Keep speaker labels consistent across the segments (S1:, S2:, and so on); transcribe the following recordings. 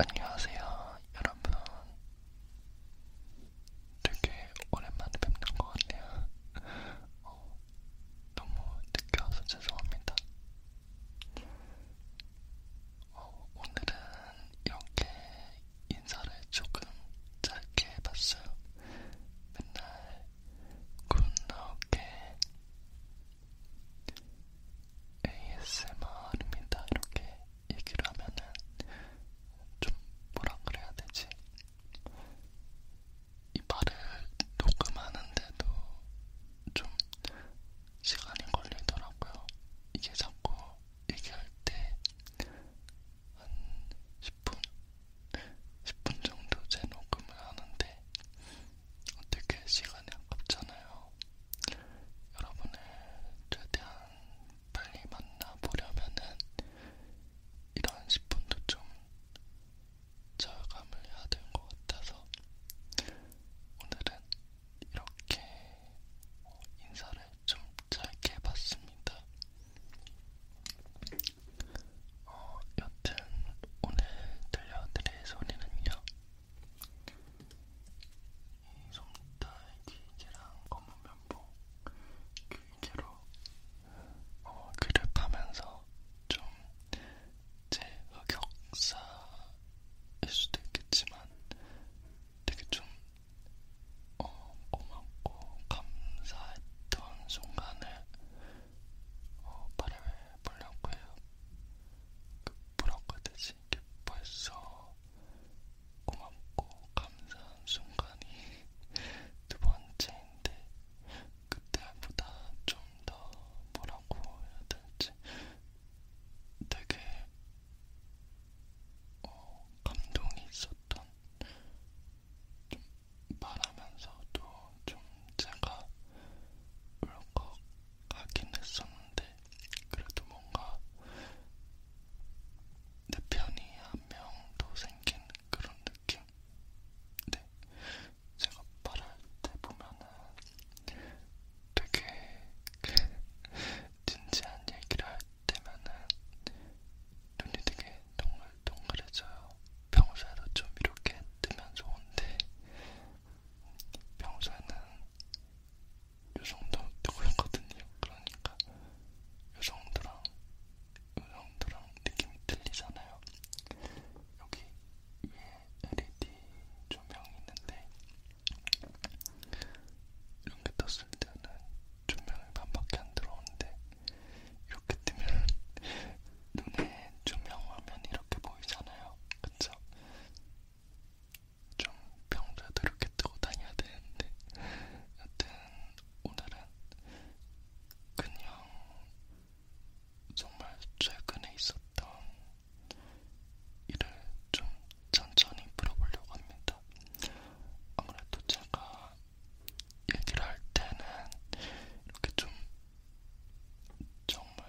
S1: 안녕하세요, 여러분. 되게 오랜만에 뵙는 것 같네요. 어, 너무 늦게 와서 죄송합니다. 어, 오늘은 이렇게 인사를 조금 짧게 해봤어요. 맨날 굿나게 ASMR입니다. 이렇게 얘기를 하면은 좀 뭐라 그래야 되지? 이 말을 녹음하는데도 좀 시간이 걸리더라고요. 이게 자꾸 얘기할 때 한 10분, 10분 정도 제 녹음을 하는데 어떻게 시간이 아깝잖아요. 여러분을 최대한 빨리 만나보려면은 이런 10분도 좀 절감을 해야 될 것 같아서 오늘은 이렇게 인사를 좀 짧게 해봤습니다. 어, 여튼 오늘 들려드릴 소리는요. 이 솜털 귀개랑 검은 면봉 귀개로 어, 귀를 파면서 좀 제 흑역사일 수도 있겠지만 되게 좀 어, 고맙고 감사했던 순간을 어, 바람에 불렸고요. 그 불었거든요. 이게 벌써 고맙고 감사한 순간이 두 번째인데 그때보다 좀 더 뭐라고 해야 될지 되게 어, 감동이 있었던 좀 말하면서도 좀 제가 울컥하긴 했었는데 그래도 뭔가 내 편이 한명더 생긴 그런 느낌? 네, 제가 말할 때 보면은 되게 그 진지한 얘기를 할 때면은 눈이 되게 동글동글해져요. 평소에도 좀 이렇게 뜨면 좋은데 평소에는 요 정도 뜨고 있거든요. 그러니까 요 정도랑 요 정도랑 느낌이 틀리잖아요. 여기 위에 LED 조명이 있는데 이렇게 떴을 때는 조명이 반밖에 안 들어오는데 이렇게 뜨면 눈에 조명 화면 이렇게 보이잖아요. 그쵸? 좀 평소에도 이렇게 뜨고 다녀야 되는데 여튼 오늘은 그냥 정말 최근에 있었던 일을 좀 천천히 풀어보려고 합니다. 아무래도 제가 얘기를 할 때는 이렇게 좀 정말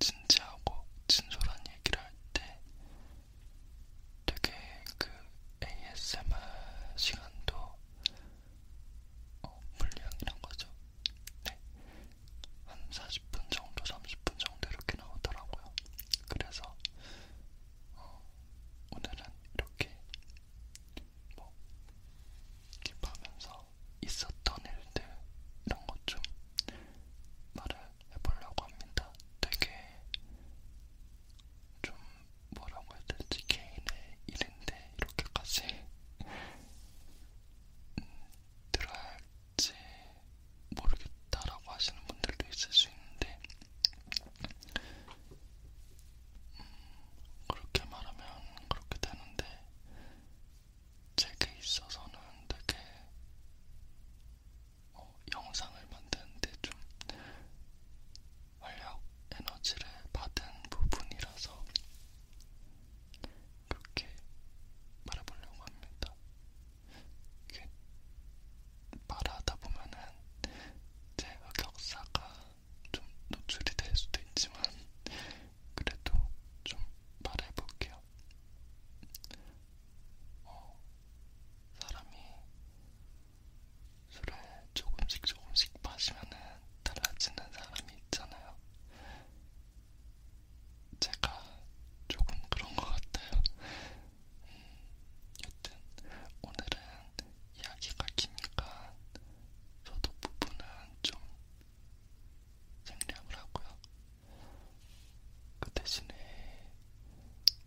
S1: 진지하고 진솔한 얘기를 할 때 되게 그 ASMR 시간도 어, 분량이란 거죠. 네. 한 40분 정도, 30분 정도 이렇게 나오더라고요. 그래서 어, 오늘은 이렇게 뭐 킵하면서 있었던 일들 이런 것 좀 말을 해보려고 합니다. 되게 좀 뭐라고 해야 될지 개인의 일인데 이렇게까지 음, 들어야 할지 모르겠다라고 하시는 분들도 있을 수 있는데 그렇게 말하면 그렇게 되는데 제게 있어서는 되게 어, 영상을 만드는데 좀 활력 에너지를 받은 부분이라서 그렇게 말해보려고 합니다. 말하다 보면은 제 흑역사가 좀 노출이 될 수도 있지만 그래도 좀 말해볼게요. 어, 사람이 술을 조금씩 조금씩 마시면은 달라지는 사람이 있잖아요. 제가 조금 그런 것 같아요. 음, 여튼 오늘은 이야기가 기니까 소독 부분은 좀 생략을 하고요. 그 대신에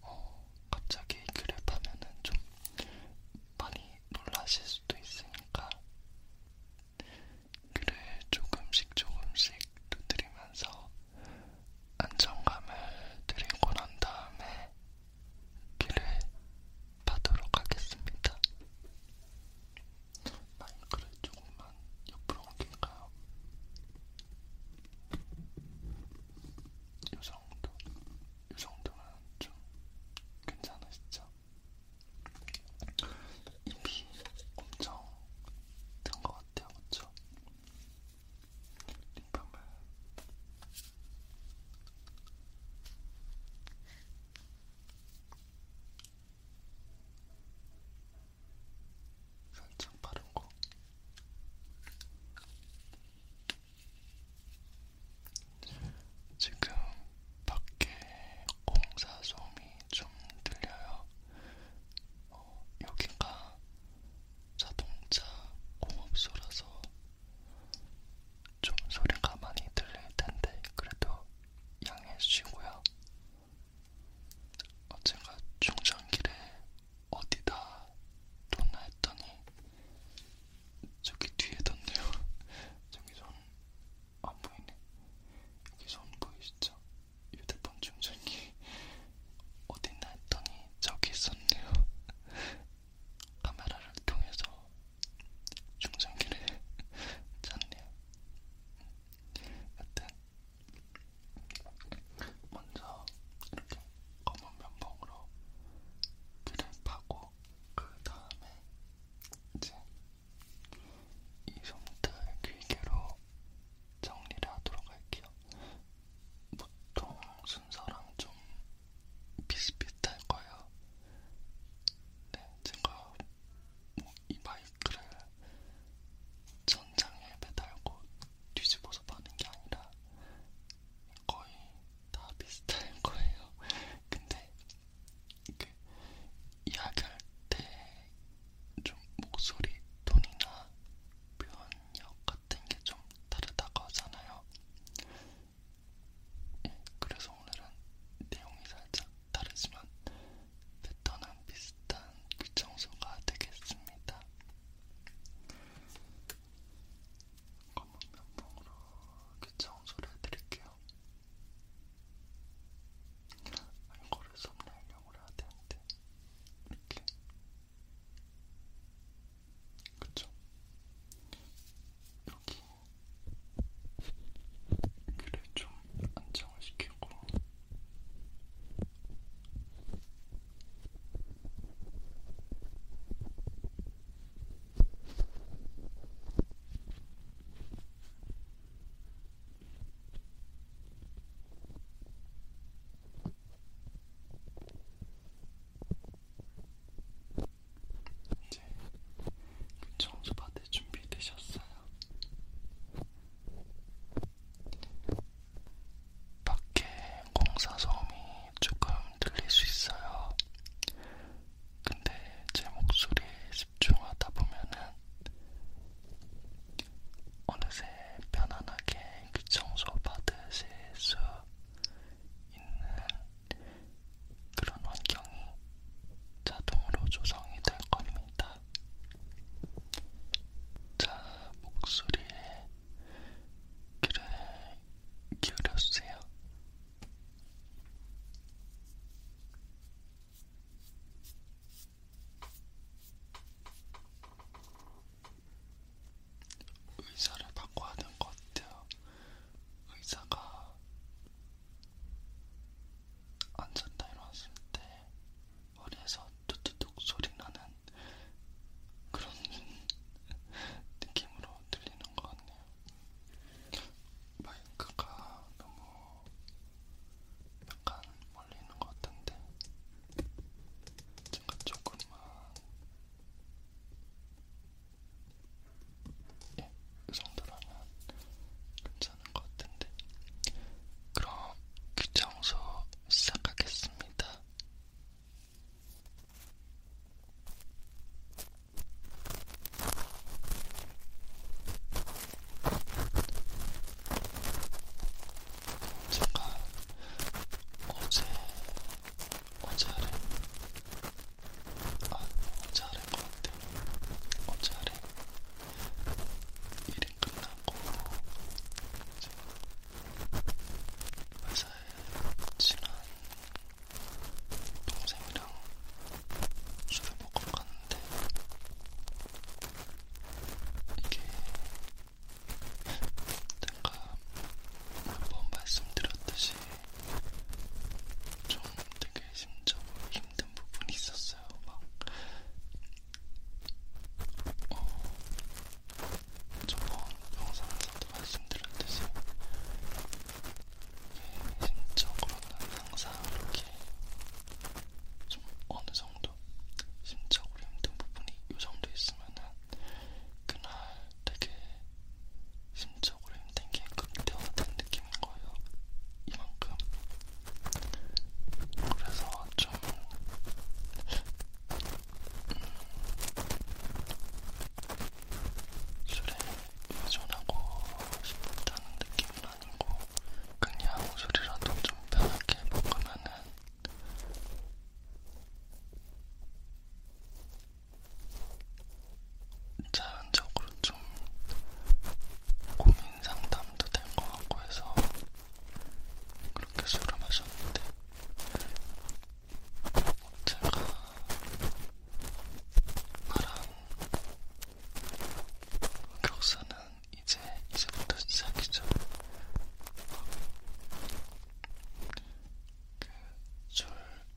S1: 어, 갑자기 그랩하면은 좀 많이 놀라실 수도 있으니까 그를 조금씩 조금씩 두드리면서 안정감을 드리고 난 다음에 기를 파도록 하겠습니다. 마이크를 조금만 옆으로 옮길까요? 이 정도, 이 정도면 좀 괜찮으시죠? 입이 엄청 든 것 같아요, 그쵸? 립밤을 살짝 바른 거. 지금 밖에 공사 소음이 좀 들려요. 어, 여기가 자동차 공업소라서 좀 소리가 많이 들릴 텐데 그래도 양해해 주시고요. 어, 제가 충전기를 어디다 뒀나 했더니 저기 뒤에 뒀네요. 저기 손안 보이네. 여기 손 보이시죠? 휴대폰 충전기 어딨나 했더니 저기 있었네요. 카메라를 통해서 충전기를 찾네요. 여튼 먼저 이렇게 검은 면봉으로 귀를 파고 그 다음에 이제 이 손톱 귀개로 정리를 하도록 할게요. 보통 순서랑 좀 비슷비슷할 거예요. 네, 제가 뭐이 마이크를 천장에 매달고 뒤집어서 파는 게 아니라 거의 다 비슷할 거예요. 근데 그 이야기할 때 좀 목소리 톤이나 표현력 같은 게 좀 다르다고 하잖아요. 그래서 오늘은 내용이 살짝 다르지만 패턴은 비슷한 귀청소가 되겠습니다. 검은 면봉으로 귀청소를 해드릴게요. 이거를 썸네일용으로 해야 되는데 이렇게 그쵸? 여기 귀를 좀 안정을 시키고 이제 그 청소 받을 준비 되셨어요? 밖에 공사 소음이 조금 들릴 수 있어요. 근데 제 목소리에 집중하다 보면은 어느새 편안하게 그 청소 받으실 수 있는 그런 환경이 자동으로 조성이 될 겁니다. 자, 목소리에 귀를 기울여주세요. 의사를 바꿔야 될것 같아요. 의사가 앉았다 일어났을 때 머리에서 뚝뚝뚝 소리 나는 그런 느낌으로 들리는 것 같네요. 마이크가 너무 약간 멀리 있는 것 같은데 제가 조금만 예, 그 정도라면 괜찮은 것 같은데. 그럼 귀청소 시작하겠습니다. 제가 어제 어제를 아, 너무 잘한 것 같아. 너무 어, 잘해. 일이 끝나고 이제 회사에 친한 동생이랑 술을 먹으러 갔는데 이게 내가 한번 말씀드렸듯이 좀 되게 심적으로 힘든 부분이 있었어요. 막, 어, 저번 영상에서도 말씀드렸듯이, 심적으로는 항상 이렇게 좀 어느 정도 심적으로 힘든 부분이 요 정도 있으면은 그날 되게 심적으로 힘든 게 극대화된 느낌인 거예요. 이만큼. 그래서 좀 음, 술에 의존하고 싶다는 느낌은 아니고 그냥 술이라도 좀 편하게 먹으면은 자연적으로 좀 고민 상담도 될것 같고 해서 그렇게 술을 마셨는데 제가 말한 격사는 이제 이제부터 시작이죠. 그술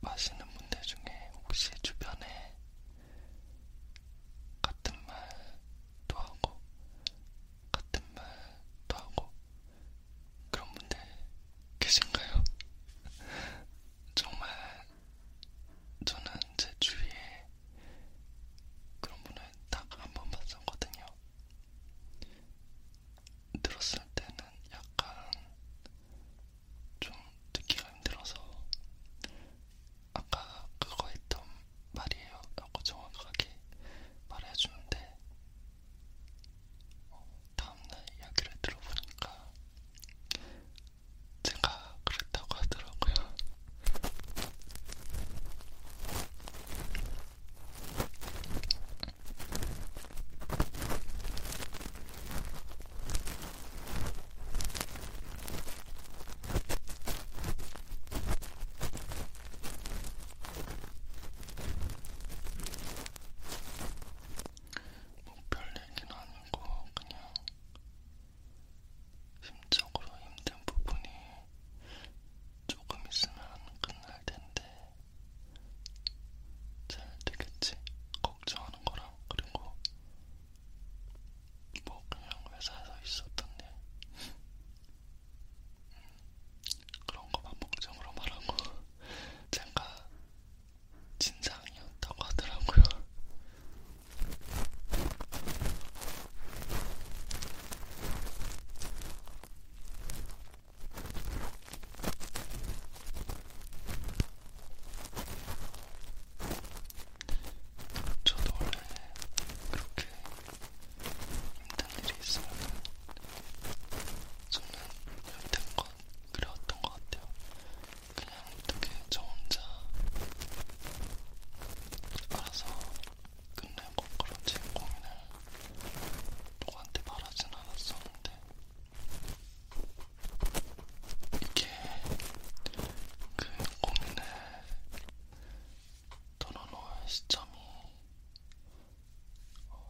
S1: 마시는 분들 중에 혹시 주변에 같은 말도 하고 같은 말도 하고 그런 분들 계신가요? 정말 저는 제 주위에 그런 분을 딱 한 번 봤었거든요. 들었을 때는 약간 좀 듣기가 힘들어서 아까 그거 했던 말이에요 라고 정확하게 말해주는데 어, 다음날 이야기를 들어보니까 제가 그랬다고 하더라고요. 뭐별 얘기는 아니고 그냥 심적으로 힘든 부분이 조금 있으면 끝날 텐데 잘 되겠지 걱정하는 거랑 그리고 뭐 그냥 회사에서 있었던 일 음, 그런 거만 목적으로 말하고 제가 진상이었다고 하더라고요. 저도 원래 그렇게 힘든 일이 있으면 저는 여태껏 그래왔던 것 같아요. 그냥 어떻게 저 혼자 알아서 끝내고 그런 제 고민을 누구한테 말하진 않았었는데 이게 그 고민을 털어놓을 시점이 어,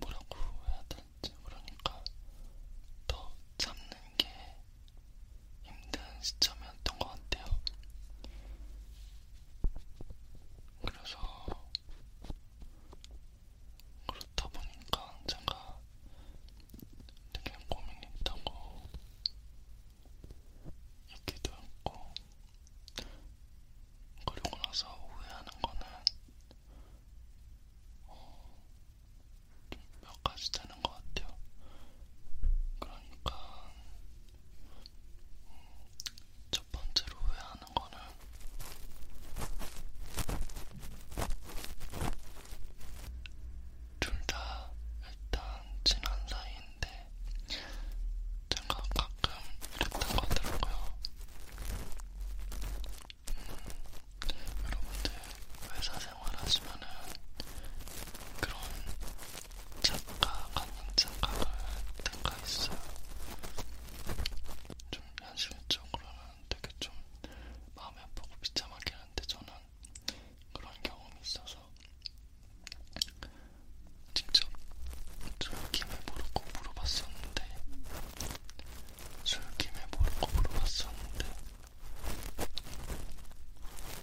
S1: 뭐라고 해야 될지 그러니까 더 참는 게 힘든 시점이었던 것 같아요. 그래서 그렇다 보니까 제가 되게 고민이 있다고 얘기도 했고 그리고 나서 후회하는 거는 어, 몇 가지 되는 것 같아요. 그러니까 음, 첫 번째로 후회하는 거는 둘 다 일단 친한 사이인데 제가 가끔 이랬던 거 같더라고요. 음, 여러분들 회사 생활하시면은 그런 착각 아닌 착각을 들까 있어요. 좀 현실적으로는 되게 좀 마음이 아프고 비참하긴 한데 저는 그런 경험이 있어서 직접 술김에 모르고 물어봤었는데 술김에 모르고 물어봤었는데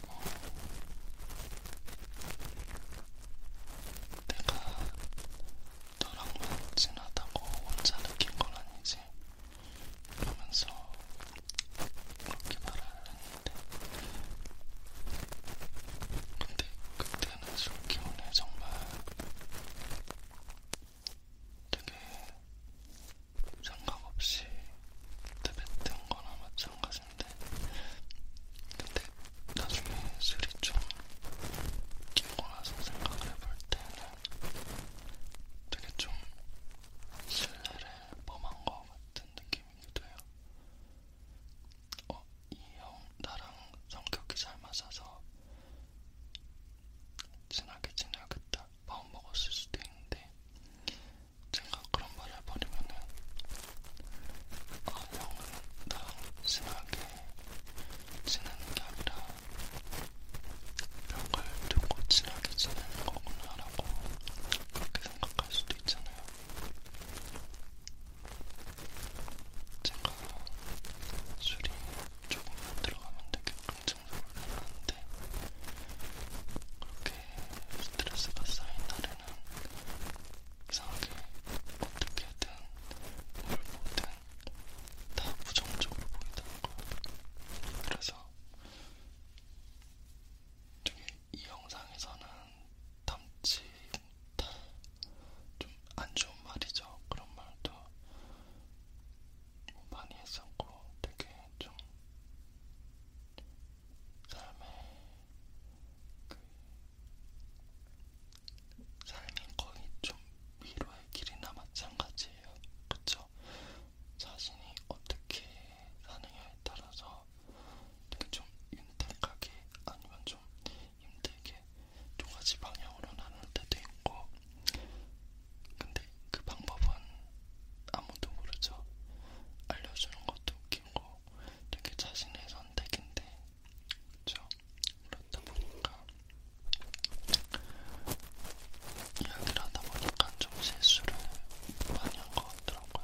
S1: 어, 내가 너랑만 친하다고 혼자 느낀 건 아니지? 그러면서 그렇게 말을 했는데 근데 그때는 솔기훈에 정말 되게 생각 없이 대뱉은 거나 마찬가지인데 근데 나중에 술이 좀 끼고 와서 생각을 해볼 때는 되게 좀 신뢰를 범한 것 같은 느낌이기도 해요. 어, 이형 나랑 성격이 잘 맞아서 친하게 지내야겠다 마음 먹었을 수도 있는데 제가 그런 말을 해버리면은 아 형은 나랑 친하게 지내는 게 아니라 벽을 두고 친하게 지내는 거구나라고 그렇게 생각할 수도 있잖아요. 제가 술이 조금만 들어가면 되게 긍정적으로 하는데 그렇게 스트레스가 쌓인 날에는 이상하게 어떻게든 뭘 보든 다 부정적으로 보인다는 거. 그래서 저기 이 영상에서는 담치 좀 안 좋은 말이죠. 그런 말도 뭐 많이 했었고 되게 좀 삶의 그 삶이 거의 좀 위로의 길이나 마찬가지예요. 그쵸? 자신이 어떻게 사느냐에 따라서 되게 좀 윤택하게 아니면 좀 힘들게 두 가지 방향으로 나눌 때도 있고 근데 그 방법은 아무도 모르죠. 알려주는 것도 웃기고 되게 자신의 선택인데 그렇죠? 그렇다 보니까 이야기를 하다 보니까 좀 실수를 많이 한 것 같더라고요.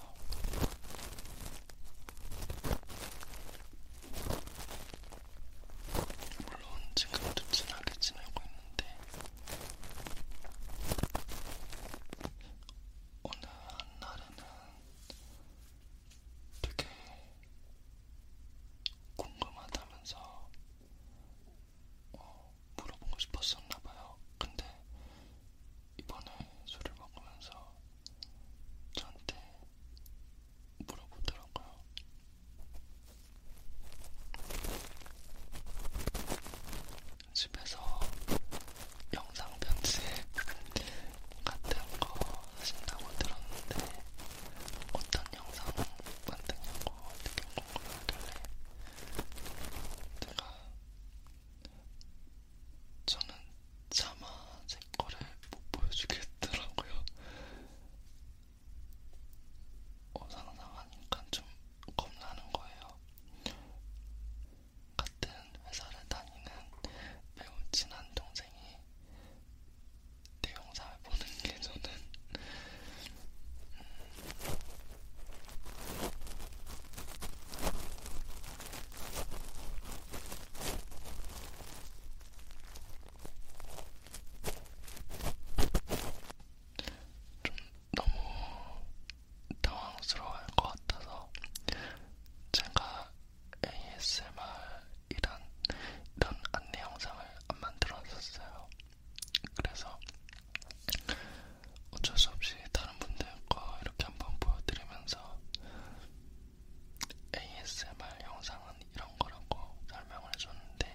S1: 물론 지금도 친하게 지내고 있는데 어느 한 날에는 되게 궁금하다면서 어, 물어보고 싶었었나봐요. 근데 이번에 술을 먹으면서 저한테 물어보더라고요. 집에서 영상 편집 같은 거 하신다고 들었는데 어떤 영상 만드냐고 어떻게 궁금하길래 제가 저는 차마 제 거를 못 보여주겠더라고요. 어, 상상하니까 좀 겁나는 거예요. 같은 회사를 다니는 매우 친한 동생이 내 영상을 보는 게 저는 좀 너무 당황스러워할 것 같아서 제가 ASMR 이런 이런 안내 영상을 안 만들었었어요. 그래서 어쩔 수 없이 다른 분들 거 이렇게 한번 보여드리면서 ASMR 영상은 이런 거라고 설명을 해줬는데.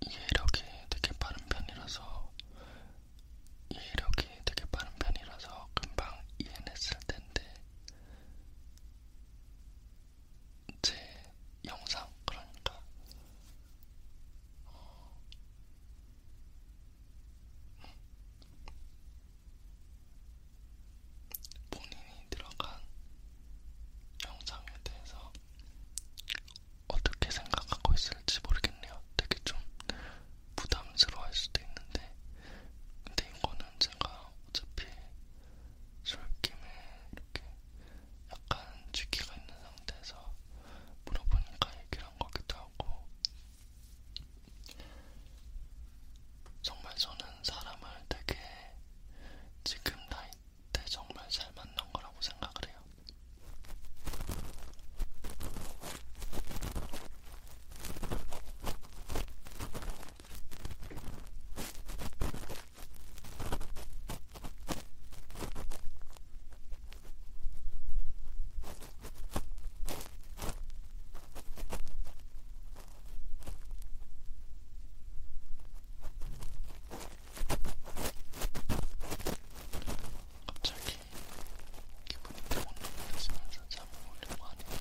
S1: 이해력이 되게 빠른 편이라서 이해력이 되게 빠른 편이라서 금방 이해했을 텐데 제 영상 그러니까 어... 본인이 들어간 영상에 대해서 어떻게 생각하고 있을지 모르겠네요. 되게 좀 부담스러워할 수도 있는데, 근데 이거는 제가 어차피 술김에 이렇게 약간 쥐기가 있는 상태에서 물어보니까 얘기를 한 거기도 하고, 정말 저는 사람을 되게 지금 나이 때 정말 잘 맞는 거라고 생각을 해요. 갑자기 기분이 뜨거워지면서 잠을 오려고 하네요.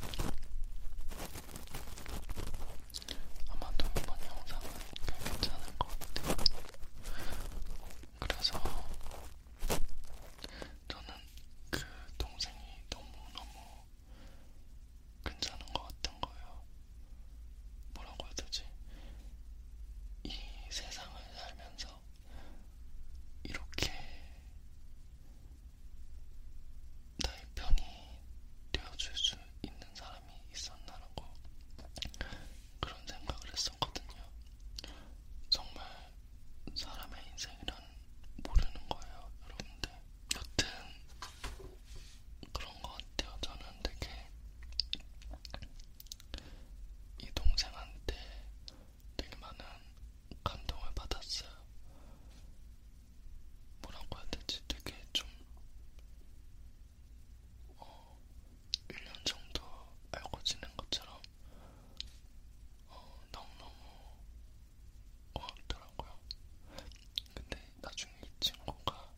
S1: 아마도 이번 영상은 꽤 괜찮을 것 같아요. 그래서 저는 그 동생이 너무너무 괜찮은 것 같은 거예요. 뭐라고 해야 되지? 이 세상을 살면서 이렇게 나의 편이 되어줄 수 있는 사람이 있었나라고 그런 생각을 했었거든요. 정말 사람의 인생이란 모르는 거예요, 여러분들. 여튼 그런 것 같아요. 저는 되게 이 동생한테 되게 많은 감동을 받았어요. 뭐라고 해야 되지? 되게 좀 어, 1년 정도 알고 지낸 것처럼 어, 너무너무 고맙더라고요. 근데 나중에 이 친구가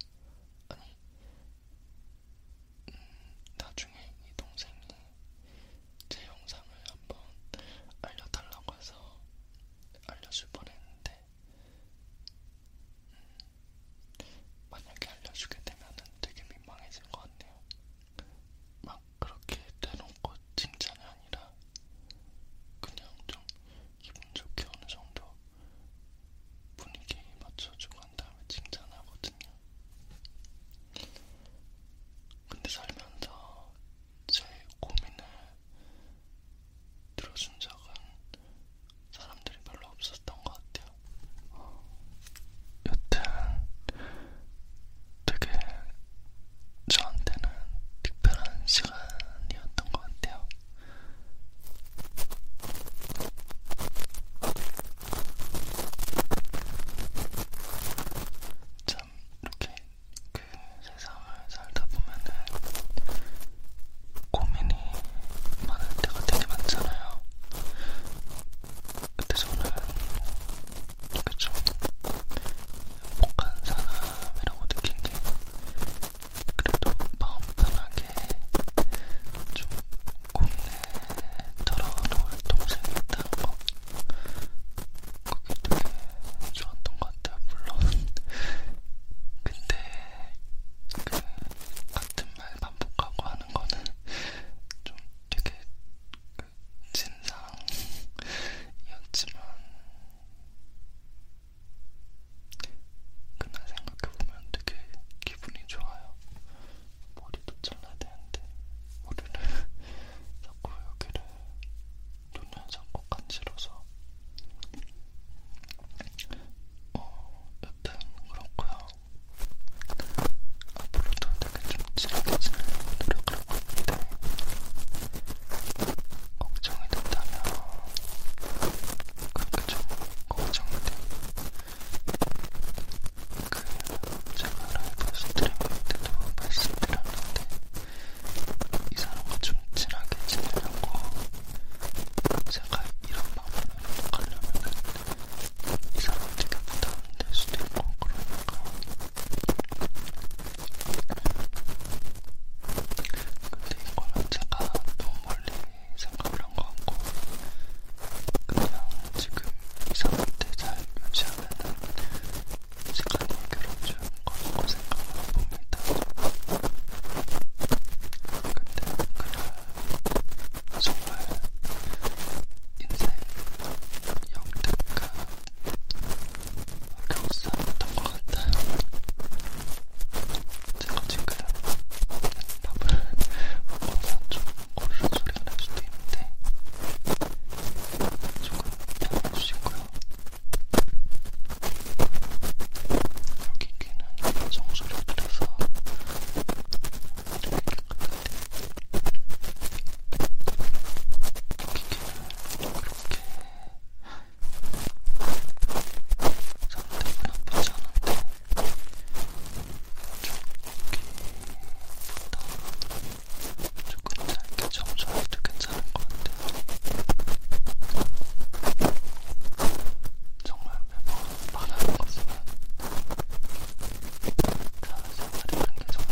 S1: 아니 나중에 이 동생이 제 영상을 한번 알려달라고 해서 알려줄 뻔했는데 음, 만약에 알려주게 되면은 되게 민망해질 것 같네요. 막 그렇게 대놓고 칭찬이 아니라 그냥 좀 기분 좋게 어느 정도 분위기에 맞춰주고 한 다음에 칭찬하거든요. 근데 살면서 제 고민을 들어준 적은 사람들이 별로 없었던 것 같아요. 여튼 되게 저한테는 특별한 시간이었던 것 같아요. 참 이렇게 그 세상을 살다 보면은 고민이 많을 때가 되게 많잖아요. 그때 저는 그좀 행복한 사람이라고 느낀 게 그래도 마음 편하게 좀 국내 털어놓을 동생이 있다는 거 그게 되게 좋았던 것 같아요 물론 근데 그 같은 말 반복하고 하는 거는 좀 되게 그 진상이었지만 그날 생각해보면 되게 기분이 좋아요. 머리도 잘라야 되는데 머리를 자꾸 여기를 눈을 자꾸 간지러서 어, 여튼 그렇고요. 앞으로도 되게 좀 즐거워지는 노력을 하고 있는데 걱정이 된다면 그렇게 좀 걱정돼. 그 제가 라이브에서 드림할 때도 말씀드렸는데 이 사람과 좀 친하게 지내려고 제가 이런 방법으로 가려면은 이 사람 되게 부담될 수도 있고 그러니까 근데 이거는 제가 너무 멀리 생각을 한거 같고 그냥 지금 이 상태 잘 유지하면 시간이 괴롭지 않고 생각을 해봅니다. 근데 그날 정말 인생 역대급 교사였던 것 같아요. 제가 지금 밥을 먹어서 좀 오르르 소리가 날 수도 있는데 조금 양해해 주시고요. 여기 귀는 정수를 들여서 이렇게 여기 귀는 그렇게 상태가 나쁘지 않은데 저기보다 조금 짧게 청소해도 괜찮은 것 같아요. 정말 매번 바라는 것이면 사회생활이라는 게 정말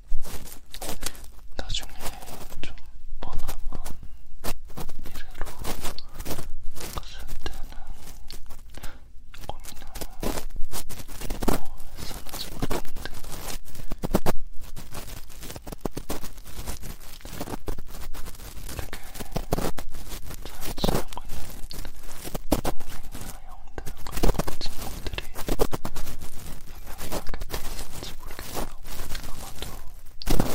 S1: 나중에 좀 머나먼 미래로 갔을 때는 고민을 뭐해서 나지 모르겠는데 되게 잘 지내고 있는 동생이나 형들 같은 것 같지만 놈들이 몇 명이나 곁에 있는지 모르겠어요. 아마도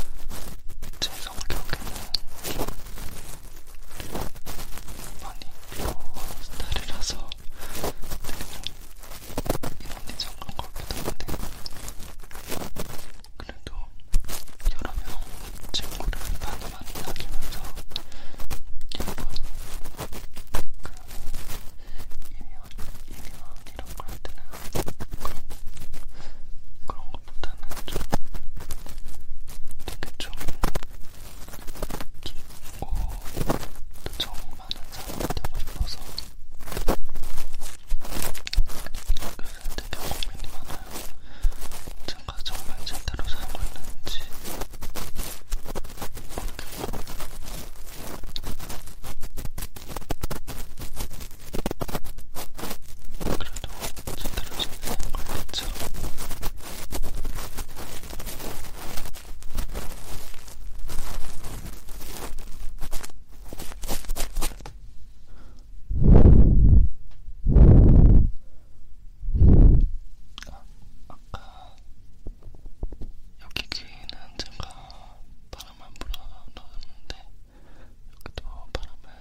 S1: 제 성격에는 좀 많이 비어 스타일이라서 이런이저런 거기도 한데 그래도 여러 명 친구를 많이많이 사귀면서 여러 번 그, 이미 예민한 이런 거할 때는 그런, 그런 것보다는 좀 되게 좀 깊고 또 정이 많은 사람이 되고 싶어서 그래서 되게 고민이 많아요. 제가 정말 제대로 살고 있는지 모르겠고 그래도 제대로 진행한 걸 했죠. 아, 아까 여기 귀에는 제가 바람을 불어 넣었는데 여기도 바람을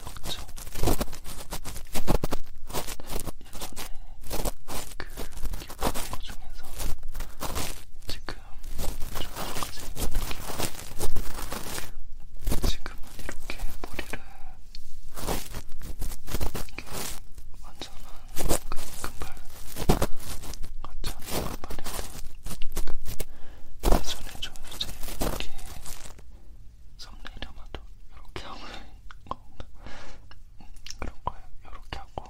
S1: 없죠. 예전에 그 기억하는 것 중에서 지금 저까지 이렇게 지금은 이렇게 머리를 이게 완전한 그 금발 같지 않은 금발인데 예전에 저 이제 이렇게 썸네일에마도 이렇게 하고 있는건가? 음, 그런거예요 이렇게 하고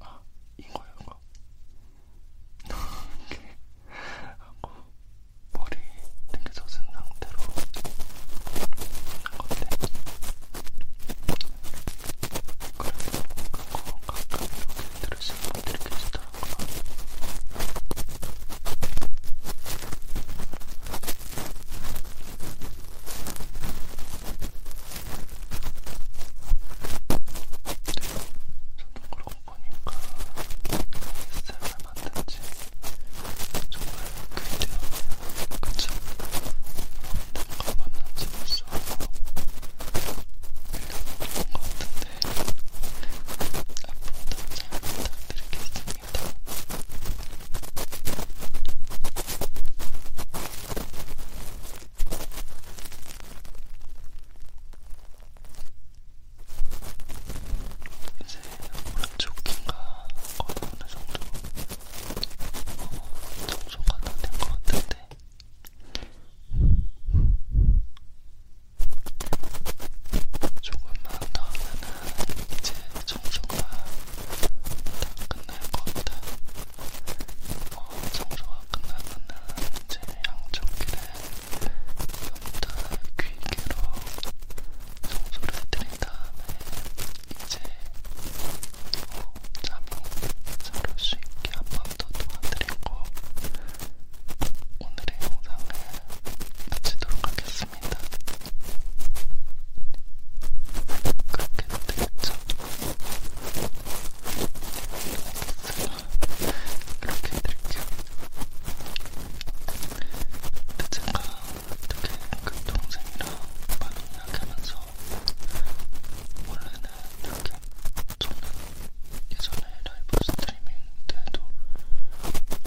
S1: 아 이거예요 이거 이렇게 하고 머리 이렇게 젖은 상태로 하는건데 그래서 그거 가끔 이렇게 들으시는 분들이 계시더라고요 저도 그런 거니까 ASMR 만든지 정말 그대로네요 그쵸? 언젠가 만난 지 벌써 1년 넘은 것 같은데 앞으로도 잘 부탁드리겠습니다 느낌입니다. 이제 오른쪽 귀가 거의 어느 정도 어, 청소가 다된것 같은데 조금만 더 하면은 이제 청소가 다 끝날 것 같아. 어, 청소가 끝나면은 이제 양쪽 귀를 좀더 귀기로 청소를 해드린 다음에 이제 어, 잡음 자를 수 있게 한 번 더 도와드리고 오늘의 영상을 마치도록 하겠습니다. 있습니다. 그렇게 되겠죠? 그렇게 해드릴게요. 근데 제가 어떻게 그 동생이랑 많이 이야기하면서 원래는 이렇게 저는 예전에 라이브 스트리밍 때도 어,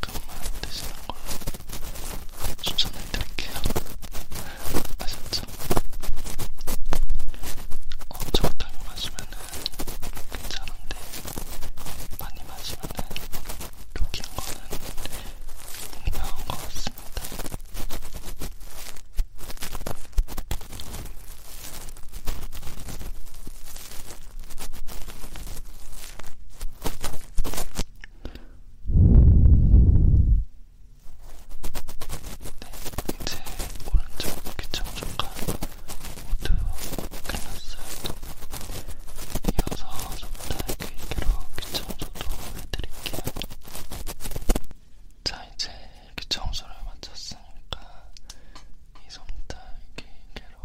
S1: 그만큼만 드시는 걸 추천을 드릴게요. 아셨죠? 어, 적당히 마시면은 괜찮은데 많이 마시면은 독한 거는 분명한 것 같습니다. 이제 오른쪽 귀청소가 모두 끝났어요. 이어서 손달 귀기로 귀청소도 해드릴게요. 자, 이제 귀청소를 마쳤으니까 이 손달 귀기로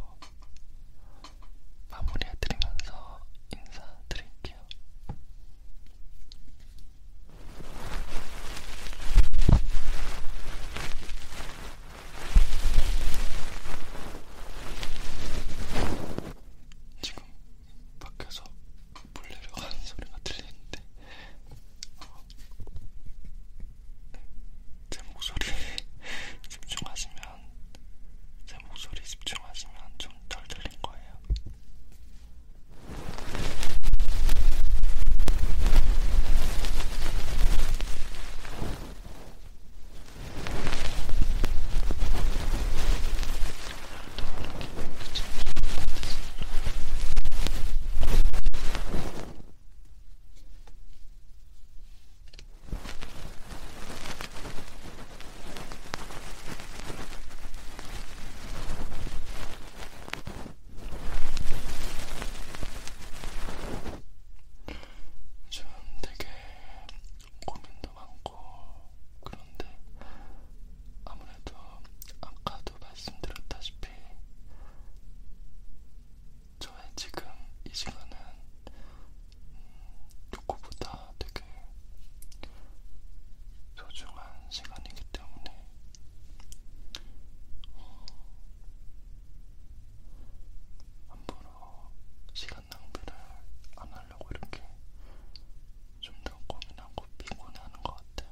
S1: 마무리해드리면서 인사드릴게요. 지금 밖에서 물 내려가는 소리가 들리는데 어, 제 목소리에 집중하시면 제 목소리 집중하시면 좀 덜 들린 거예요. 지금 되게 고민도 많고 그런데 아무래도 아까도 말씀드렸다시피 저의 지금 이 시간은 누구보다 음, 되게 소중한 시간이기 때문에 어, 함부로 시간 낭비를 안 하려고 이렇게 좀 더 고민하고 피곤해하는 것 같아요.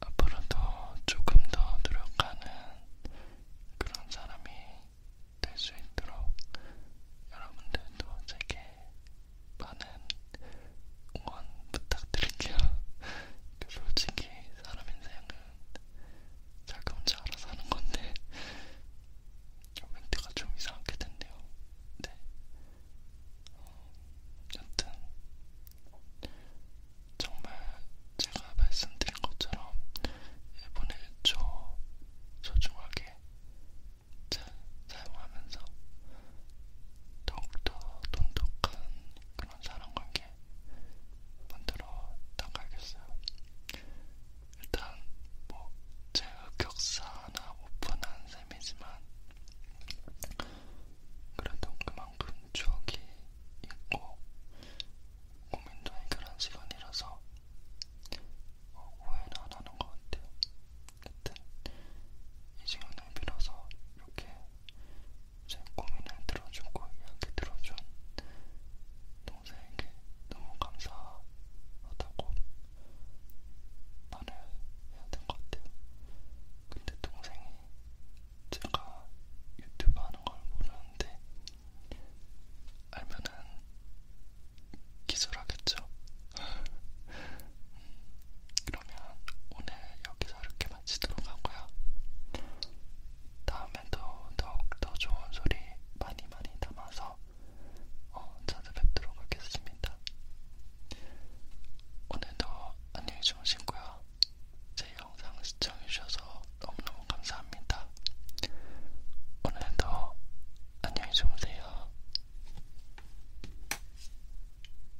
S1: 앞으로도 조금 더 노력하는 그런 사람이 될 수 있도록 여러분들도 제게 많은 응원 부탁드릴게요. 그 솔직히 사람 인생은 자기 혼자 알아서 하는 건데 멘트가 좀 이상하게 됐네요. 네. 어, 여튼 정말 제가 말씀드린 것처럼 일본의 초 소중하게 잘 사용하면서 더욱더 돈독한 그런 사람관계 만들어 나가야겠어요. 일단 뭐제 흑역사 하나 오픈한 셈이지만 그래도 그만큼 추억이 있고 고민도 해결한 시간이라서 어, 오해는 안 하는 것 같아요. 하여튼 이 시간을 빌어서 이렇게 제 고민을 들어주고 이야기 들어준 동생에게 너무 감사하다고 말을 해야 될 것 같아요. 근데 동생이 제가 유튜브 하는 걸 모르는데 알면은 기술하겠죠. 그러면 오늘 여기서 이렇게 지도록 하고요. 다음에도 더욱더 좋은 소리 많이 많이 담아서 어, 찾아뵙도록 하겠습니다. 오늘도 안녕히 주무시고요. 제 영상 시청해주셔서 너무너무 감사합니다. 오늘도 안녕히 주무세요.